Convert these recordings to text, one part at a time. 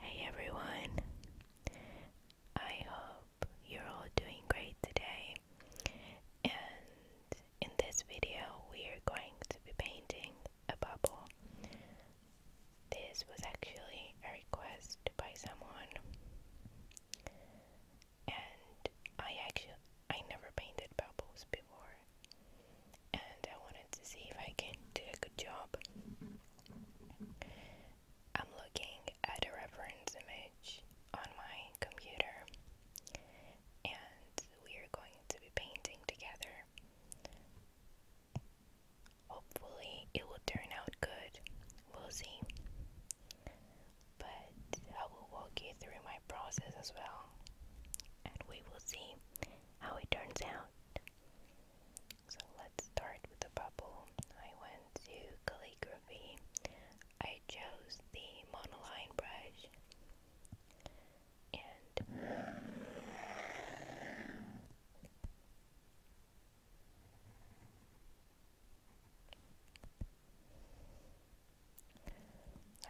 Hey everyone, I hope you're all doing great today. And in this video, we are going to be painting a bubble. This was actually a request by someone and I actually I never painted bubbles before and I wanted to see if I can do a good job. I'm looking at a reference image on my computer and we are going to be painting together. Hopefully, it will turn out good. We'll see but I will walk you through my process as well, and we will see how it turns out. So let's start with the bubble. I went to calligraphy. I chose the monoline brush and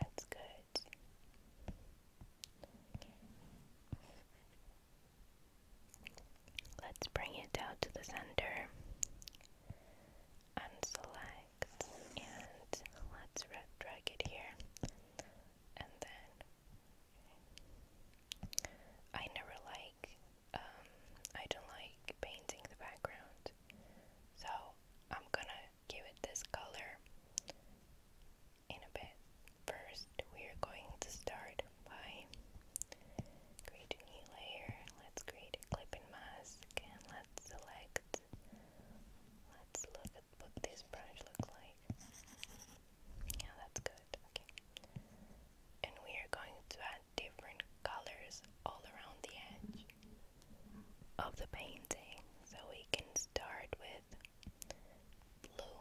that's good. Let's bring it down to the center and select and let's drag it here and then I never like um, I don't like painting the background, so I'm gonna give it this color in a bit. First, we are going to start by creating a new layer. Let's create a clipping mask and let's select. Let's look at what this brush looks like. Yeah, that's good. And we are going to add different colors all around the edge of the painting. So we can start with blue.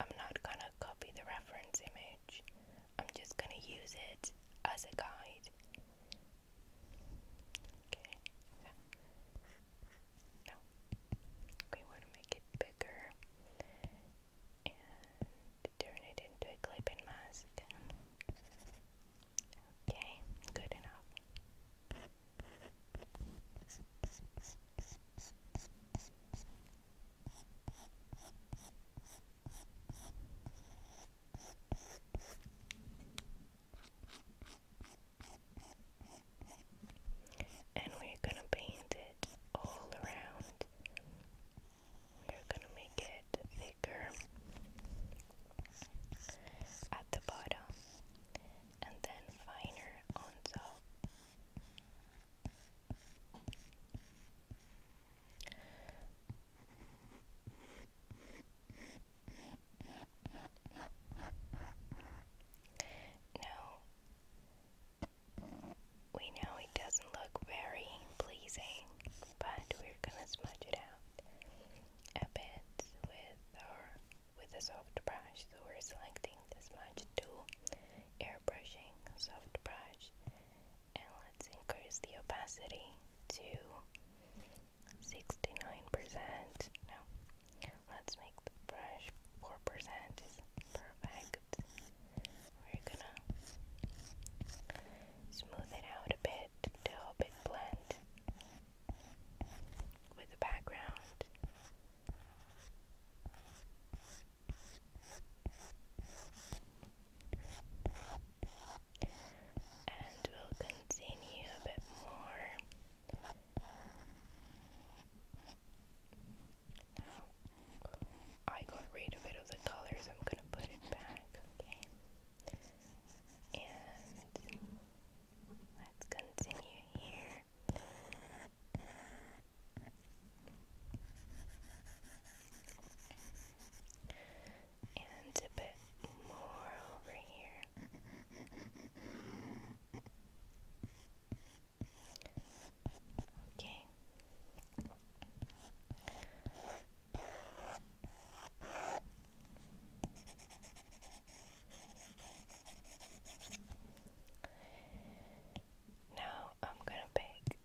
I'm not gonna copy the reference image, I'm just gonna use it as a guide. Okay. Yeah. We want to make it bigger and turn it into a clipping mask. Okay, good enough. And we're gonna paint it all around we're gonna make it thicker at the bottom and then finer on top. Now we know it doesn't look very pleasing, but we're gonna smudge it out a bit with our with a soft brush. So we're selecting the smudge tool, airbrushing soft brush, and let's increase the opacity to 69%. Now let's make the brush 4% is perfect good. We're gonna smooth it out a bit to help it blend with the background. And we'll continue a bit more. I got rid of it of the colors, I'm gonna put it back, okay? And let's continue here. And a bit more over here. Okay. Now I'm going to pick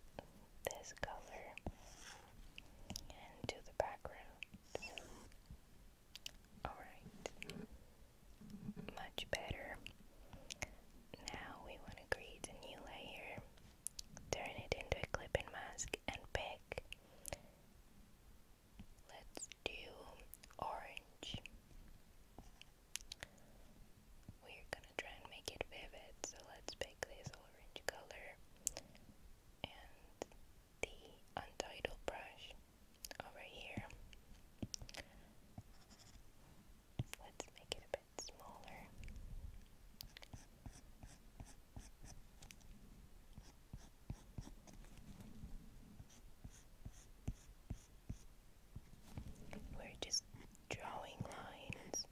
this color and do the background. Alright, much better. Now we want to create a new layer turn it into a clipping mask and pick let's do orange we're gonna try and make it vivid so let's pick this orange color and the untitled brush over here Let's make it a bit smaller. We're just drawing lines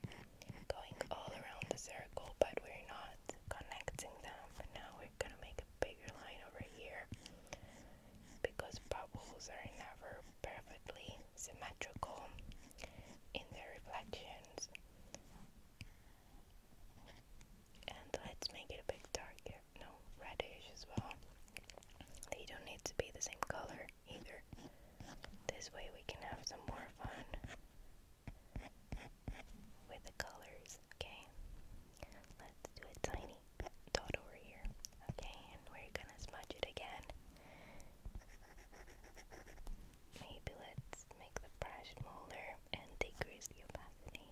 going all around the circle, but we're not connecting them. now we're gonna make a bigger line over here because bubbles are never perfectly symmetrical in their reflections. And let's make it a bit darker, no, reddish as well. They don't need to be the same color either. This way we can have some more fun with the colors, okay? Let's do a tiny dot over here, okay? And we're gonna smudge it again. Maybe let's make the brush smaller and decrease the opacity.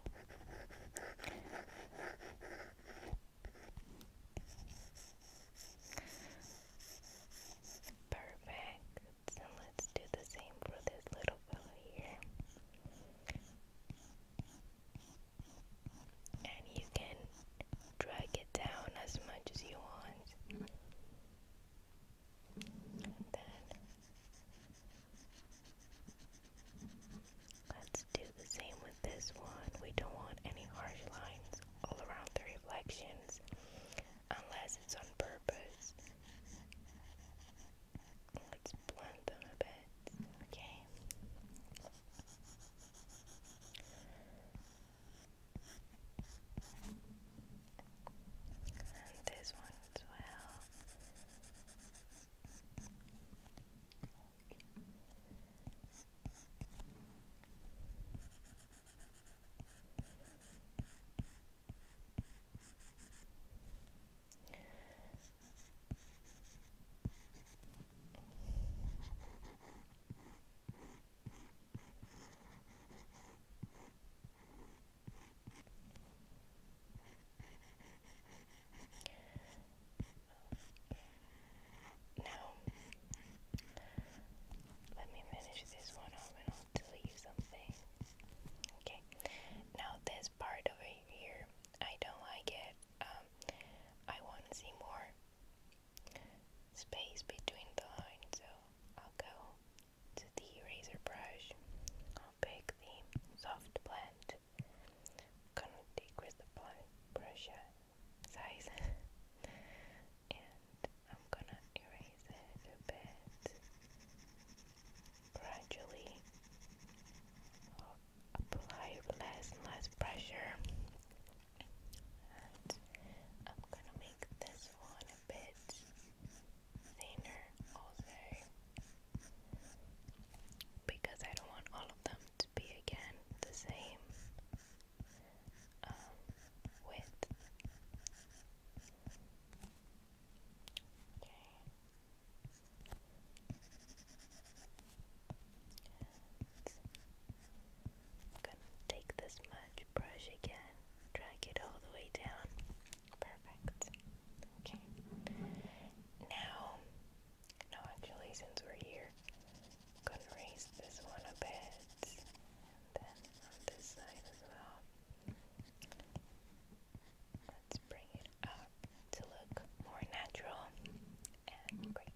Perfect. So let's do the same for this little fellow here. And you can drag it down as much as you want. then let's do the same with this one. We don't want any harsh lines all around the reflections unless it's on purpose. Let's blend them a bit, okay? And this one as well. Now, let me finish this one off and I'll delete something. Okay, now this part over here, I don't like it. Um, I want to see more space between the lines, so I'll go to the eraser brush. I'll pick the soft blend. I'm gonna decrease the brush size, and I'm gonna erase it a bit gradually. I'll apply less and less pressure and I'm gonna make this one a bit thinner also because I don't want all of them to be again the same um, width gonna take this much brush again, drag it all the way down. Perfect. Okay. Now, actually, since we're here, gonna raise this one a bit, then this side as well. Let's bring it up to look more natural and great.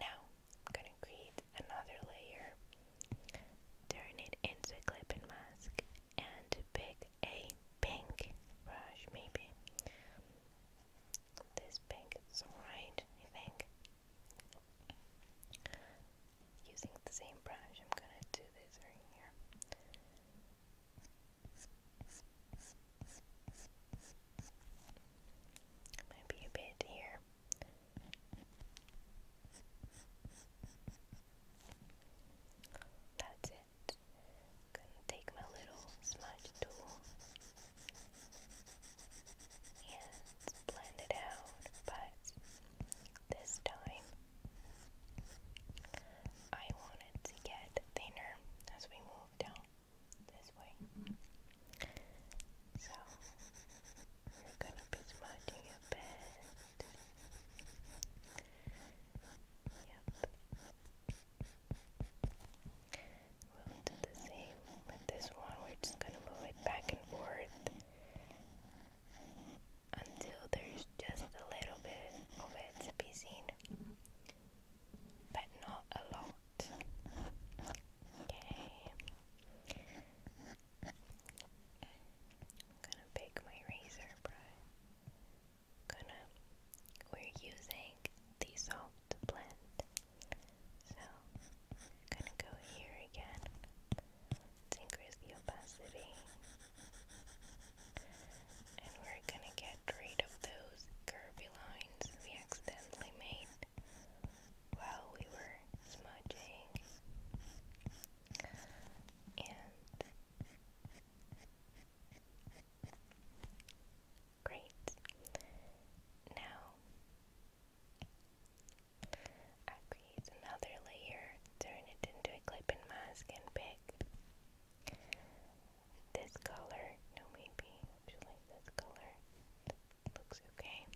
Now, I'm gonna create another layer, turn it into a clipping mask, and pick a pink brush, maybe. This pink is alright, I think. Using the same brush, I'm gonna do this right here. Maybe a bit here. That's it. Gonna take my little smudge tool and blend it out, but this time I wanted to get thinner as we move down this way. So we're gonna be smudging a bit. Yep. We'll do the same with this one. We're just gonna move it back and forth until there's just a little bit of it to be seen, but not a lot. Okay. I'm gonna pick my razor brush. Gonna we're using the to blend. So I'm gonna go here again. increase the opacity. And we're gonna get rid of those curvy lines we accidentally made while we were smudging and great now I create another layer turn it into a clipping mask and pick this color. No, maybe I like this color. looks okay.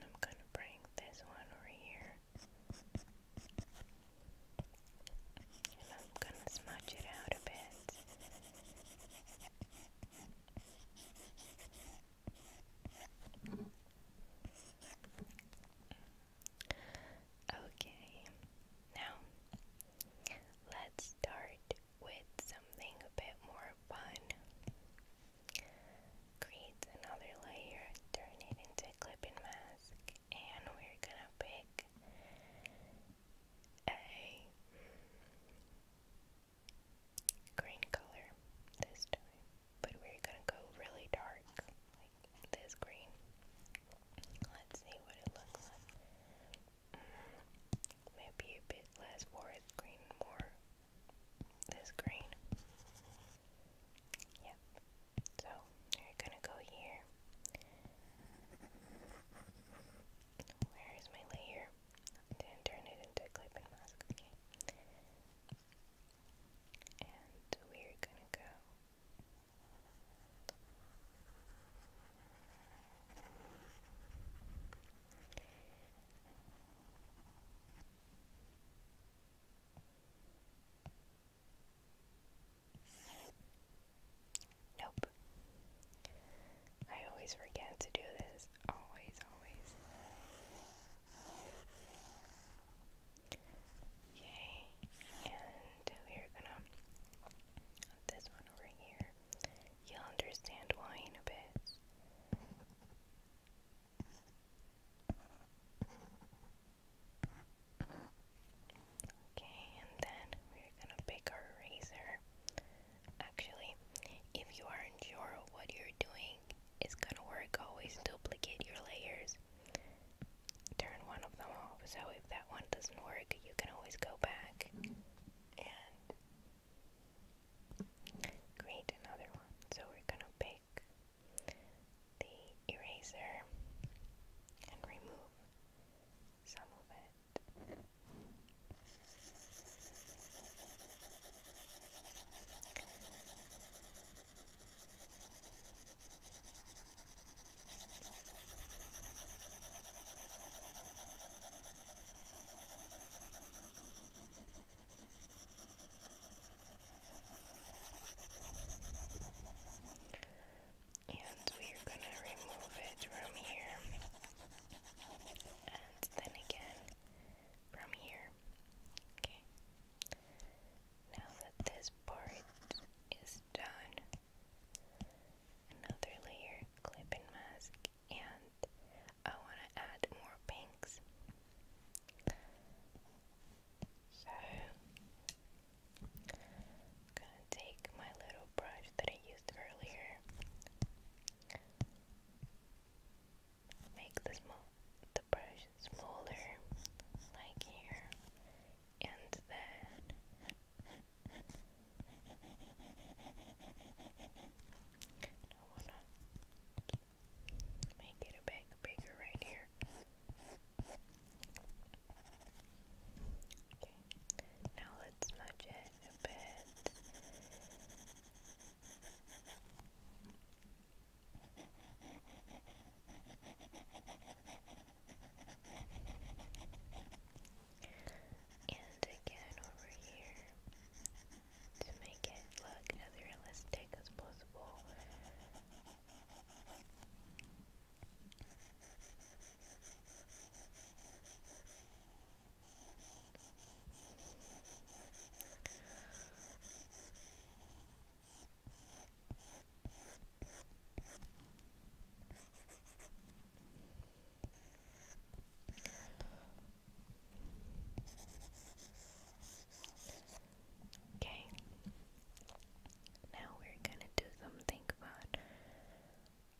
I'm gonna bring this one over here. I'm gonna smudge it out a bit. Okay, now let's start with something a bit more fun. Create another layer, turn it into clipping mask, and we're gonna pick a green color this time, but we're gonna go really dark, like this green. Let's see what it looks maybe a bit less forest green, more this green. Yep. So we're gonna go here. Where is my layer? I turn it into a mask. Okay. And we're gonna go Nope. I always forget to do this. Always, always. Okay, and we're gonna this one over here, you'll understand why in a bit. Okay, and then we're gonna pick our razor. Actually, if you aren't what you're doing, it's gonna work. Always duplicate your layers. Turn one of them off so if that one doesn't work, you can always go back and create another one. So we're gonna pick the eraser and remove some of it. And we're gonna remove it from here, and then again from here. Okay, now that this part is done, another layer clip mask and I want to add more pinks so gonna take my little brush that I used earlier make the, small, the brush smaller like here and then I wanna make it a bit bigger right here. Okay, now let's smudge it a bit. Okay, and again over here to make it look as realistic as possible. Okay, now we're gonna do something fun.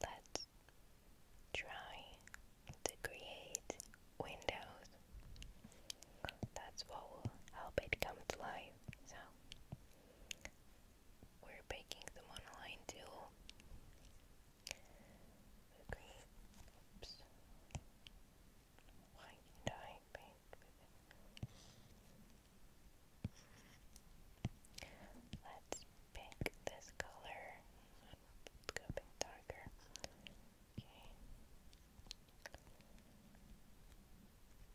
Let's try to create windows. That's what will help it come to life. So we're baking them online till oops, white dye paint with Let's pick this color, let's go a bit darker, okay.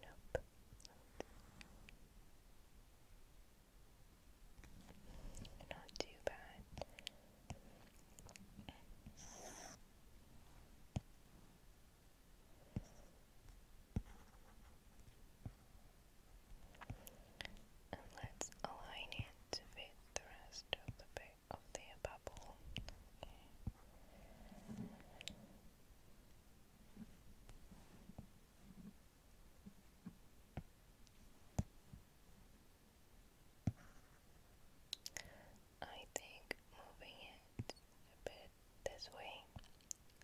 Nope. Not too bad. And let's align it with the rest of the book of the bubble. I think moving it a bit this way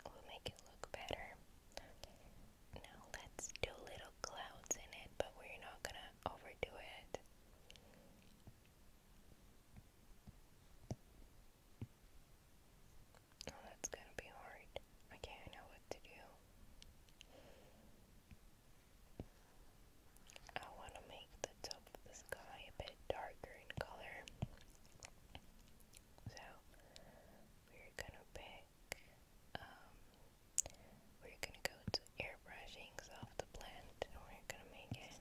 will make it look better. Now let's do little clouds in it, but we're not gonna overdo it. Oh, that's gonna be hard. Okay, I know what to do. I want to make the top of the sky a bit darker in color. So, we're gonna pick um, we're gonna go to airbrushings of the plant and we're gonna make it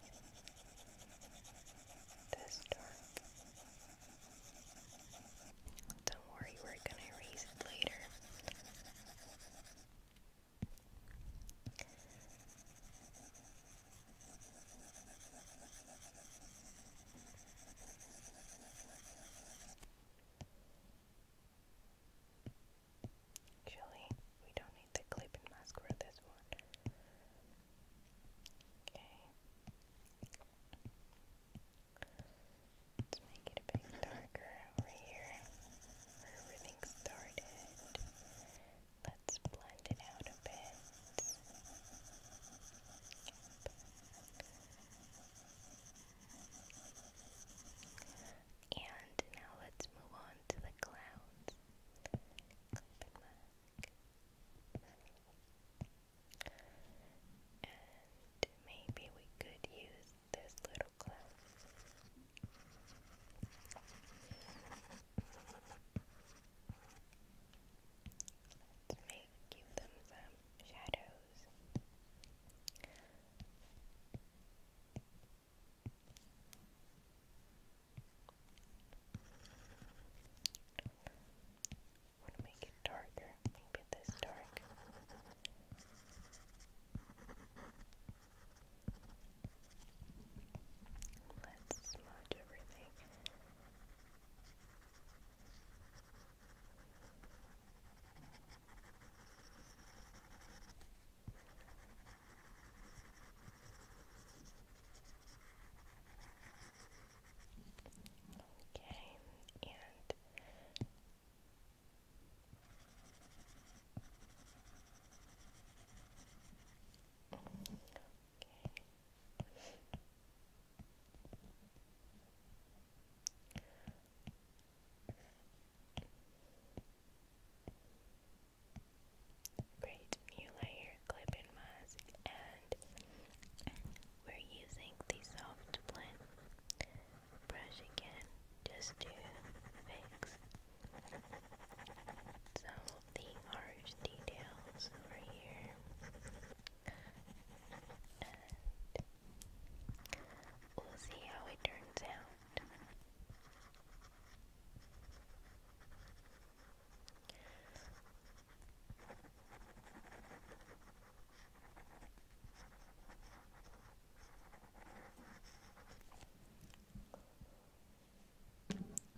this dark. Don't worry, we're gonna erase it later. Actually, we don't need the clip and mask for this one. Okay. Let's make it a bit darker over here where everything started. Let's blend it out a bit. And now let's move on to the clouds. And maybe we could use this little clown. Let's make give them some shadows want to make it darker, maybe this dark. Let's smudge everything. Okay, and okay. Great, new layer clipping mask, and we're using the soft blend brush again just to fix some of the harsh details over here. we'll see how it turns out.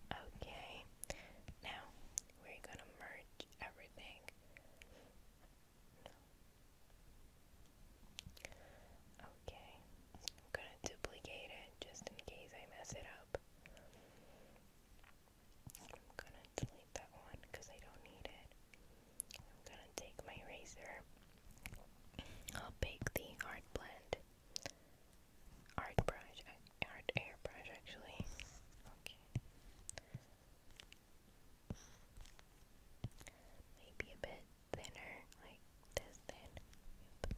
Okay, now we're gonna merge everything. Okay, I'm gonna duplicate it just in case I mess it up. I'm gonna delete that one because I don't need it. I'm gonna take my eraser. I'll pick the art blend. Art brush, art airbrush actually. Okay. Maybe a bit thinner, like this thin. And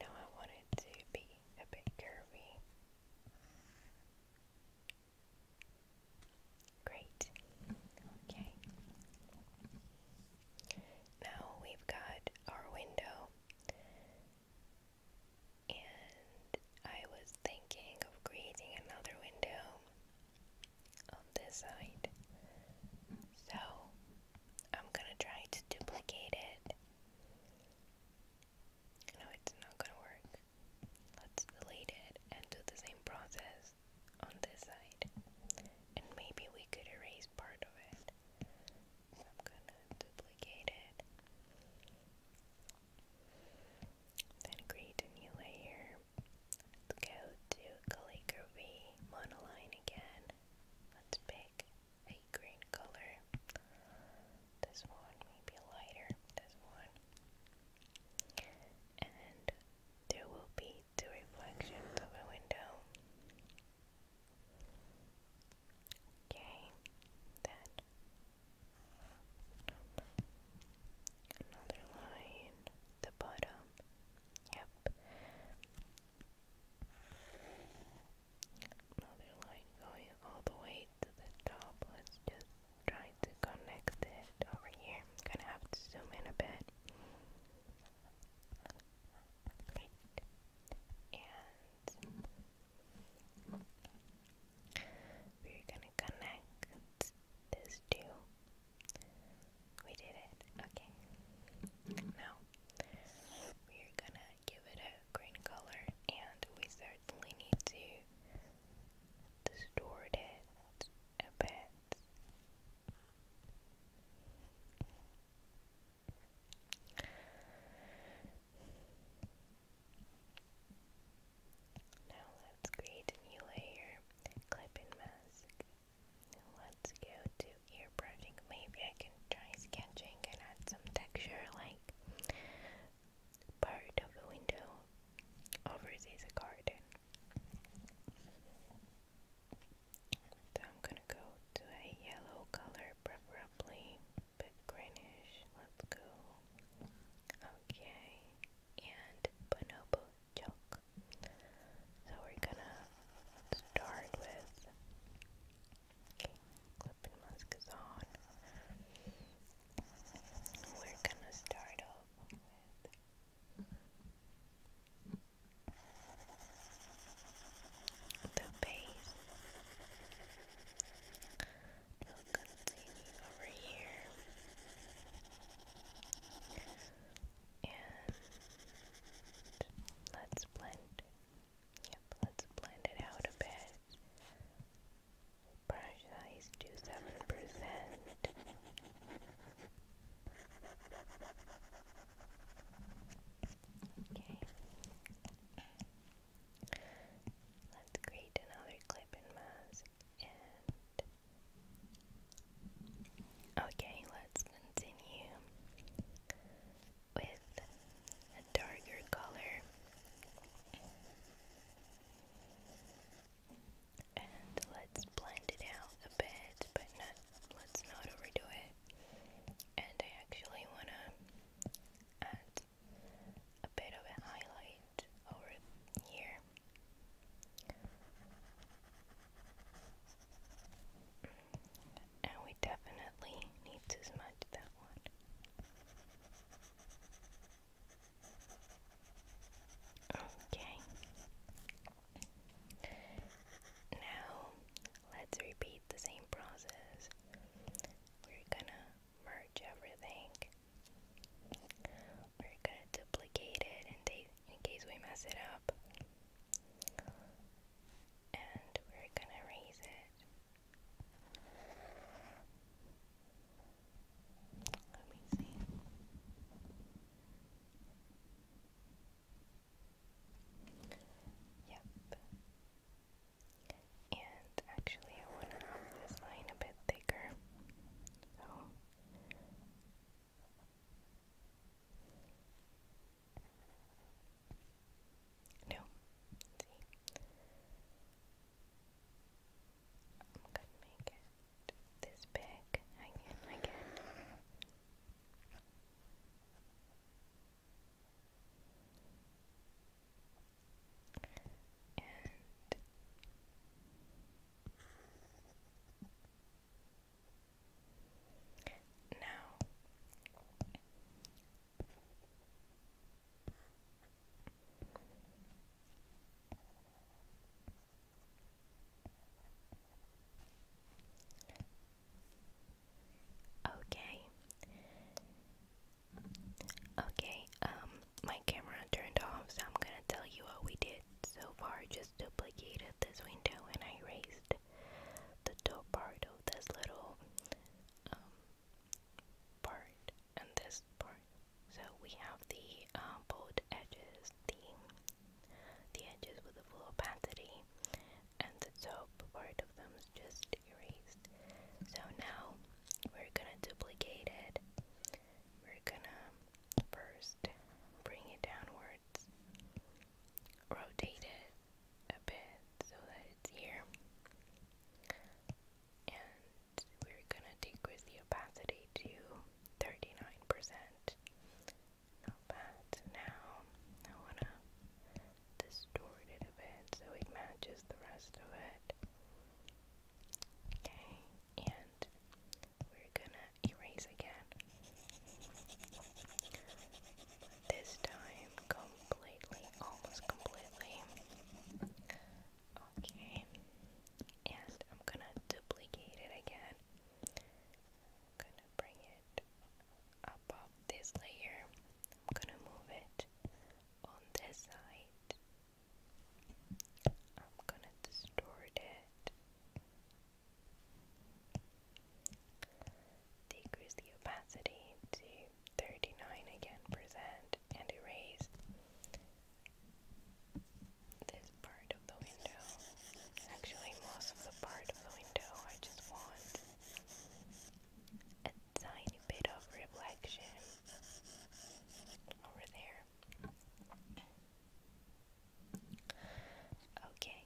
now I want it to be a bit curvy. Great. Okay. Now we've got our window. And I was thinking of creating another window on this side. So I'm gonna try to duplicate it. No, it's not gonna work. Let's delete it and do the same process on this side, and maybe we could erase part of it. I'm gonna duplicate it, then create a new layer. Let's go to calligraphy monoline again. Let's pick a green color. This one may be lighter. This one, and there will be see the reflections of a window. Okay, that. Another line, the bottom. Yep. Another line going all the way to the top. Let's just try to connect it over here. gonna have to zoom in a bit. And we're gonna connect this two. We did it. Okay. Now we're gonna give it a green color and we certainly need to distort it now let's create a new layer, clipping mask. Let's go to ear brushing. Maybe I can try sketching and add some texture like part of the window. Over is a I'm gonna go to a yellow color, preferably a greenish. Let's go. Okay, and bonobo chalk. So we're gonna start with. Okay, clipping mask is on. We're gonna start off with the base will continue over here and let's blend yep let's blend it out a bit brush size to seven percent Okay. Let's create another clip and mask okay, let's continue with a darker color. And let's blend it out a bit, but let's not overdo it. And I actually want to add a bit of a highlight over here. And we definitely need to smudge that one. Okay, now, let's repeat the same process. We're gonna merge everything. We're gonna duplicate it in, case we mess it up. And we're gonna raise it. Let me see. Yep. And actually, I want to have this line a bit thicker. No. see. I'm gonna make it this big again, again. And now Okay. Okay, um, my camera turned off, so I'm gonna tell you what we did so far. Just duplicated this window and I erased the top part of this little um, part and this part. So we have the uh, bold edges the the edges with a full opacity and the top part of them just erased. So now we're gonna duplicate it. We're gonna first bring it downwards, rotate it a bit so that it's here. And we're gonna decrease the opacity to 39%. Not bad. now I want to distort it a bit so it matches the rest of it. Okay, and we're gonna erase again. this time completely, almost completely. Okay, and I'm gonna duplicate it again I'm gonna bring it above this layer. I'm gonna move it on this side. I'm gonna distort it. Decrease the opacity to 39 again percent and erase this part of the window. Actually, most of the part of the window, I just want a tiny bit of reflection over there. Okay,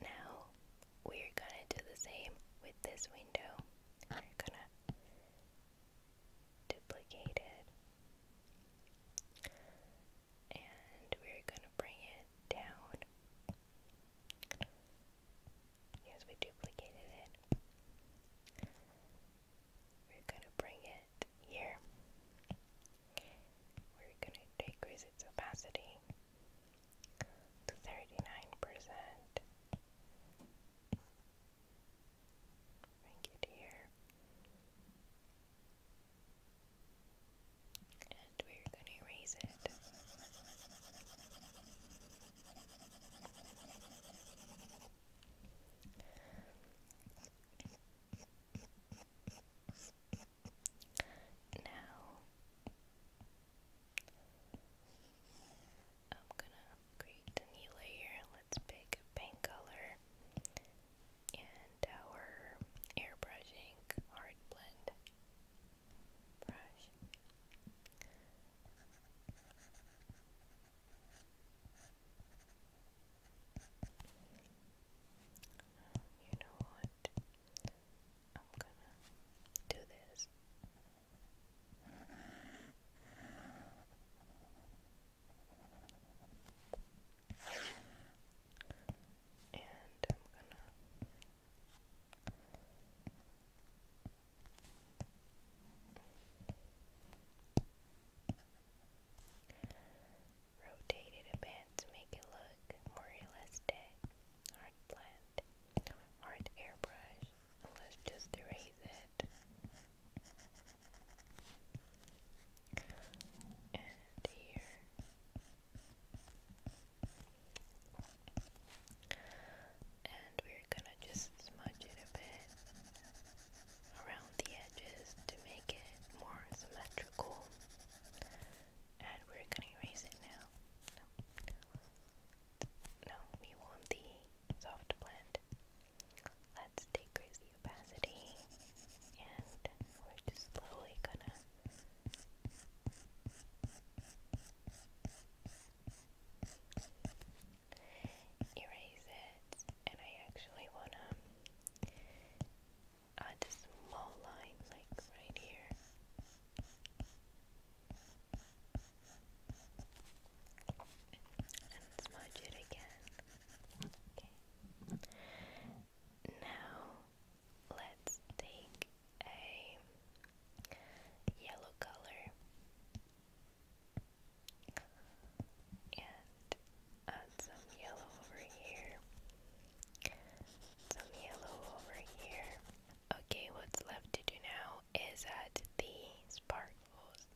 now we're gonna do the same with this window. We're gonna duplicated. And we're going to bring it down. Yes, we duplicated it. We're going to bring it here. We're going to decrease its opacity to 39%. Bring it here. And we're going to erase it. Now I'm gonna create a new layer. Let's pick a paint color and our airbrushing art blend brush. You know what? I'm gonna do this. And I'm gonna rotate it a bit to make it look more realistic. Hard blend, hard airbrush. Let's just erase it and here. And we're gonna just smudge it a bit around the edges to make it more symmetrical. And we're gonna erase it now. No, we want the soft blend. Let's decrease the opacity and we're just slowly gonna erase it and I actually wanna add a small line like right here and smudge it again Okay. Now let's take a yellow color and add some yellow over here. Some yellow over here. Okay, what's left to do now is add the sparkles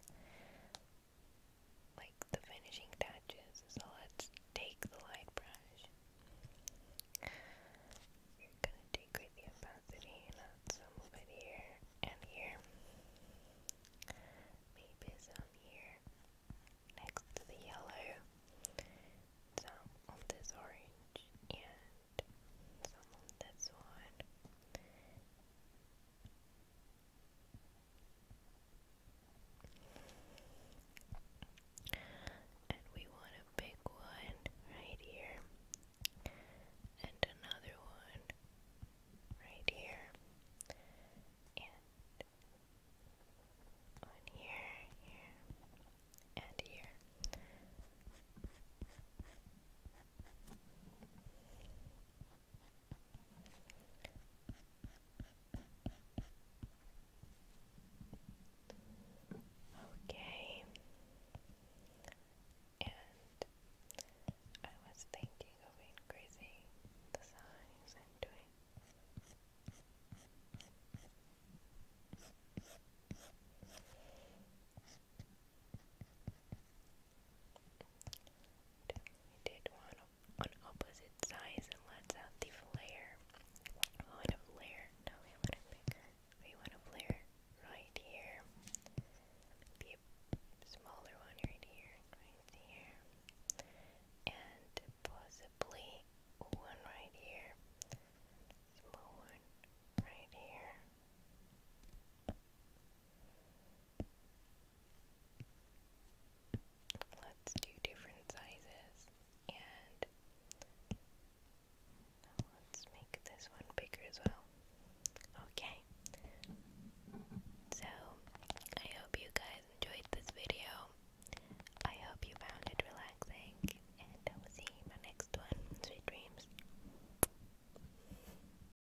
like the finishing touches. So let's take the light brush. You're gonna decrease the opacity and some of it here and here. Maybe some here next to the yellow, some on this orange and some on this one. And we want a big one right here, and another one right here, and here, here, and here. Okay, and I was thinking of increasing the size and doing did one on opposite sides and let's add the flare. We oh, want flare. No, we want a bigger. We want a flare right here. Maybe smaller one right here, right here. And possibly one right here. Small one right here. Let's do different sizes and let's make this one bigger as well. Okay. So, I hope you guys enjoyed this video. I hope you found it relaxing, and I will see you in my next one. Sweet dreams.